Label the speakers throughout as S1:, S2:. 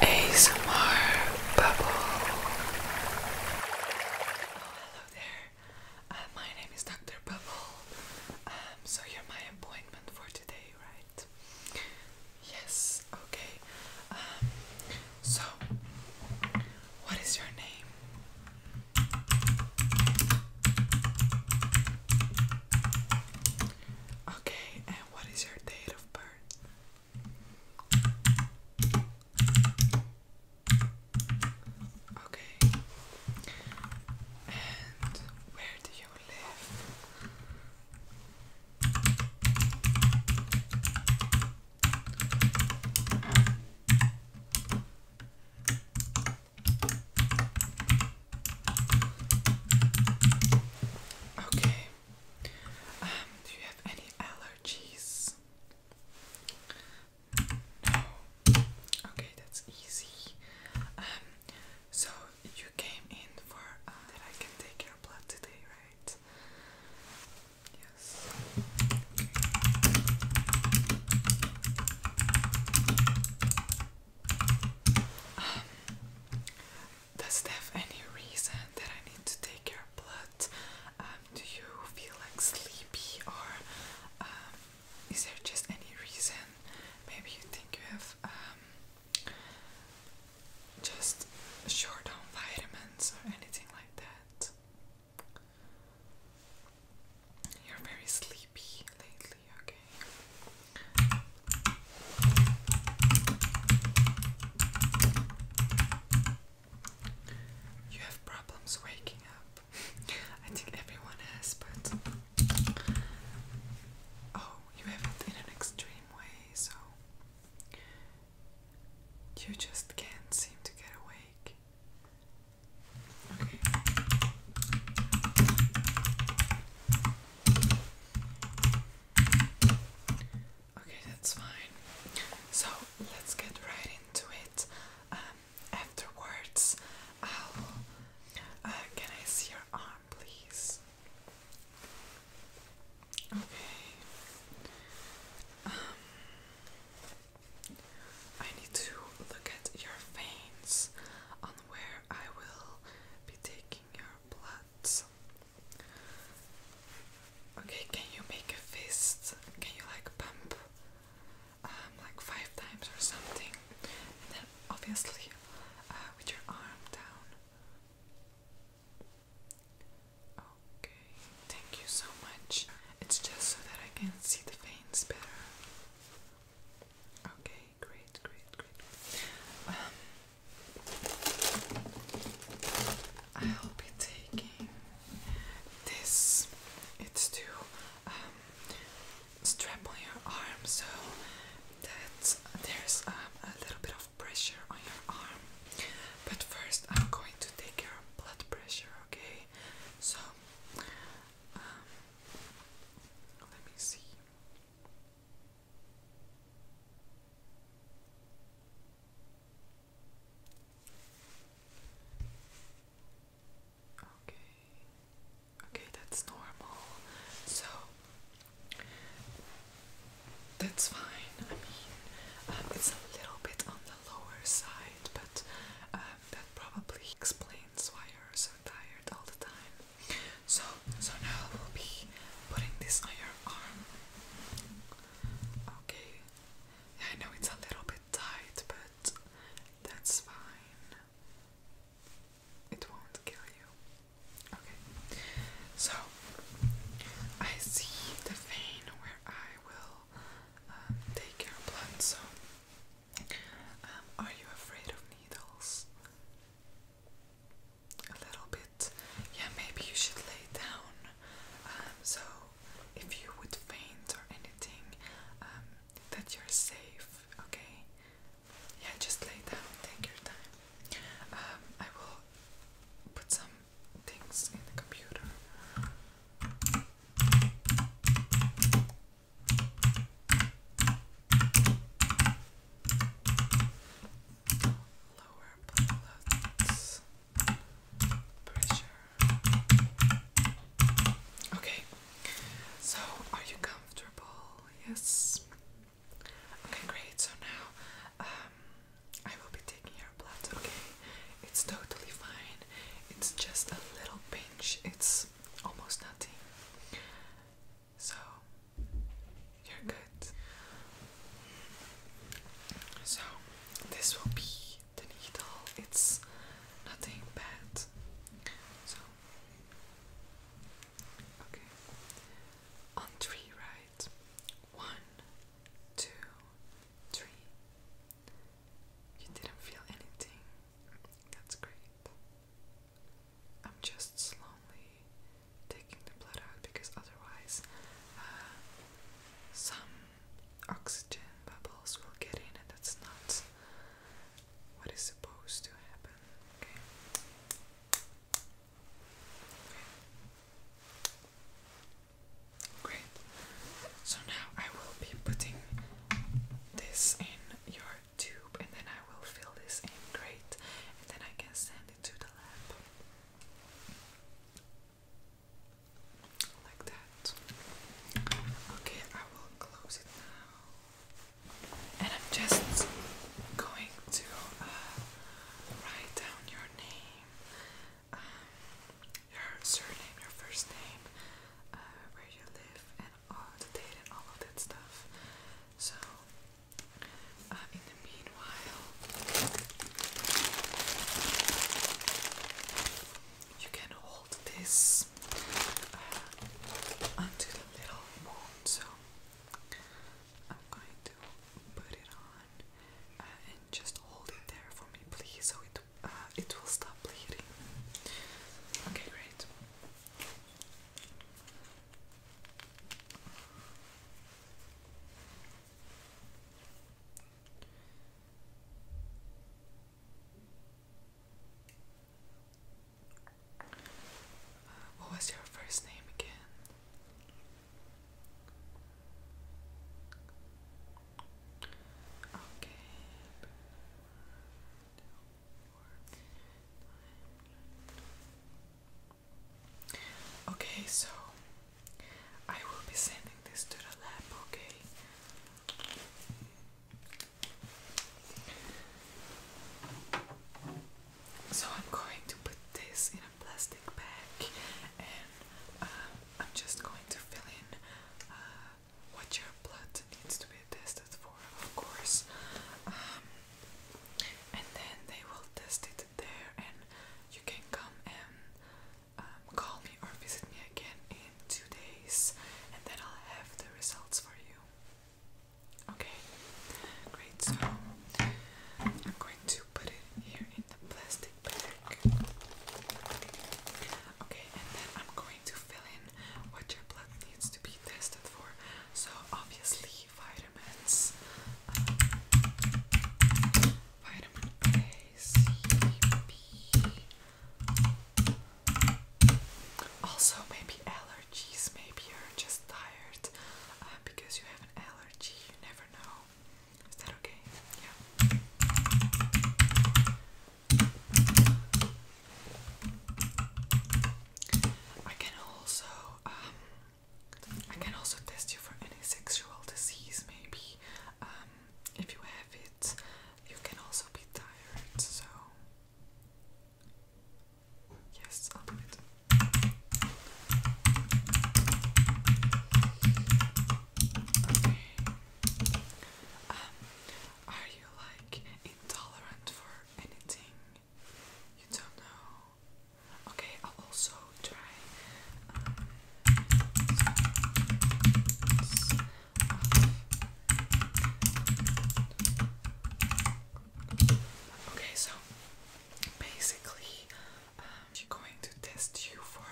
S1: ASMR Bubble. Oh, hello there. Uh, my name is Dr. Bubble. Um, so you're my appointment for today, right? Yes, okay. Um, so, what is your name? Okay, what is your date of birth? Okay. And where do you live? Okay. Um, do you have any allergies? No. Okay, that's easy. Um, so you came in for uh, that I can take your blood today, right? Yes does it have any reason that I need to take your blood? Um, do you feel like sleepy or um, is there just any reason? Maybe you think you have um, just short on vitamins or anything like that. You're very sleepy. You have problems waking up. I think everyone has, but. Oh, you have it in an extreme way, so. You just can't seem to get awake. Okay, that's fine. So let's get right into it. Um, afterwards, I'll. Uh, can I see your arm, please? Okay. Um, I need to look at your veins on where I will taking your bloods. Okay, can you make a fist? Can you like pump um, like five times or something? And then obviously uh, with your arm down. Okay, thank you so much. It's just so that I can see the veins better. Okay, great, great, great. Um, I'll be taking this. It's to um, strap on your arm so that there's um, a little bit of pressure on your arm. But first, I'm going to take your blood pressure, okay? So, let me see. Okay. Okay, that's normal. So that's fine. I mean, um, it's a little bit on the lower side, but um, that probably explains why you're so tired all the time. So, so now we'll be putting this on your arm. Okay. I know it's a little bit tight, but that's fine. It won't kill you. Okay. So, I see the vein where I will um, take your blood, so um, are you afraid of needles? A little bit. Yeah, maybe you should lay down. Um, so if you would faint or anything, um, that you're safe, okay? Yeah, just lay down, take your time. Um, I will put some things in the computer. Lower blood pressure. Okay, so are you comfortable? Yes. Okay, great. So now, um, I will be taking your blood. Okay, it's totally fine. It's just a little pinch. It's almost nothing. So you're good. So this will be the needle. It's nothing bad. So okay. On three, right? One, two, three. You didn't feel anything. That's great. I'm just slowly taking the blood out because otherwise uh, some oxygen bubbles will get in and that's not what is supposed to happen. Okay. okay. Great. So now I will be putting this in your tube and then I will fill this in great and then I can send it to the lab. Like that. Okay, I will close it now. And I'm just going to uh, write down your name, um, your surname, your first name, uh, where you live, and all the data, all of that stuff. So, uh, in the meanwhile, you can hold this onto uh, the little moon. So, I'm going to put it on uh, and just hold it there for me, please, so it uh, it will stop bleeding. Okay, great. Uh, what was your first name again? Okay. Okay, so I will be sending this to the lab, okay? So I'm going to put this in a plastic bag and um, I'm just going to fill in uh, what your blood needs to be tested for, of course. Um, and then they will test it there, and you can come and um, call me or visit me again in two days, and then I'll have the results for you. Okay, great. So I'm going to put it here in the plastic bag. Okay, and then I'm going to fill in what your blood needs to be tested for. So obviously vitamins, vitamin A, C, B. Also maybe allergies. Maybe you're just tired uh, because you have an allergy. You never know. Is that okay? Yeah. I can also um, I can also test you for any sexual disease maybe. Um, if you have it, you can also be tired, so yes, I'll do it. Um, are you like intolerant for anything? You don't know. Okay, I'll also try. Um, okay, so basically, um, she's going to test you for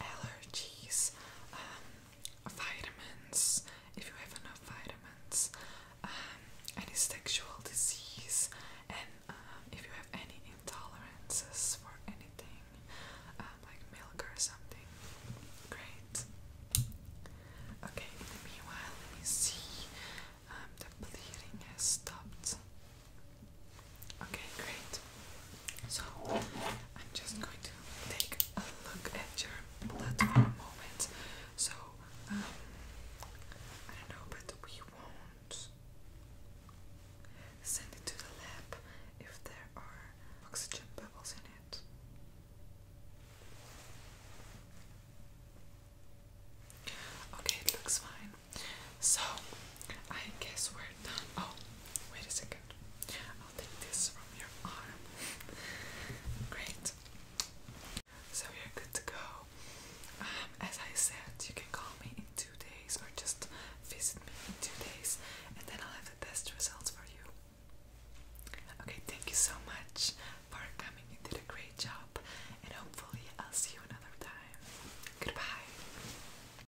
S1: allergies. Um, vitamins, if you have enough vitamins, um, any sexual disease, and um, if you have any intolerances for anything, um, like milk or something. Great. Okay, meanwhile, let me see. Um, the bleeding has stopped. Okay, great. So I'm just going to take a look at your blood moment. So um, I don't know, but we won't send it to the lab if there are oxygen bubbles in it. Okay, looks fine. So I guess we're done. Oh, wait a second. I'll take this from your arm. Great. So we're good to go. Um, as I said, you can call me in two days or just visit me in two days and then I'll have the test results for you. Okay, thank you so much for coming. You did a great job and hopefully I'll see you another time. Goodbye.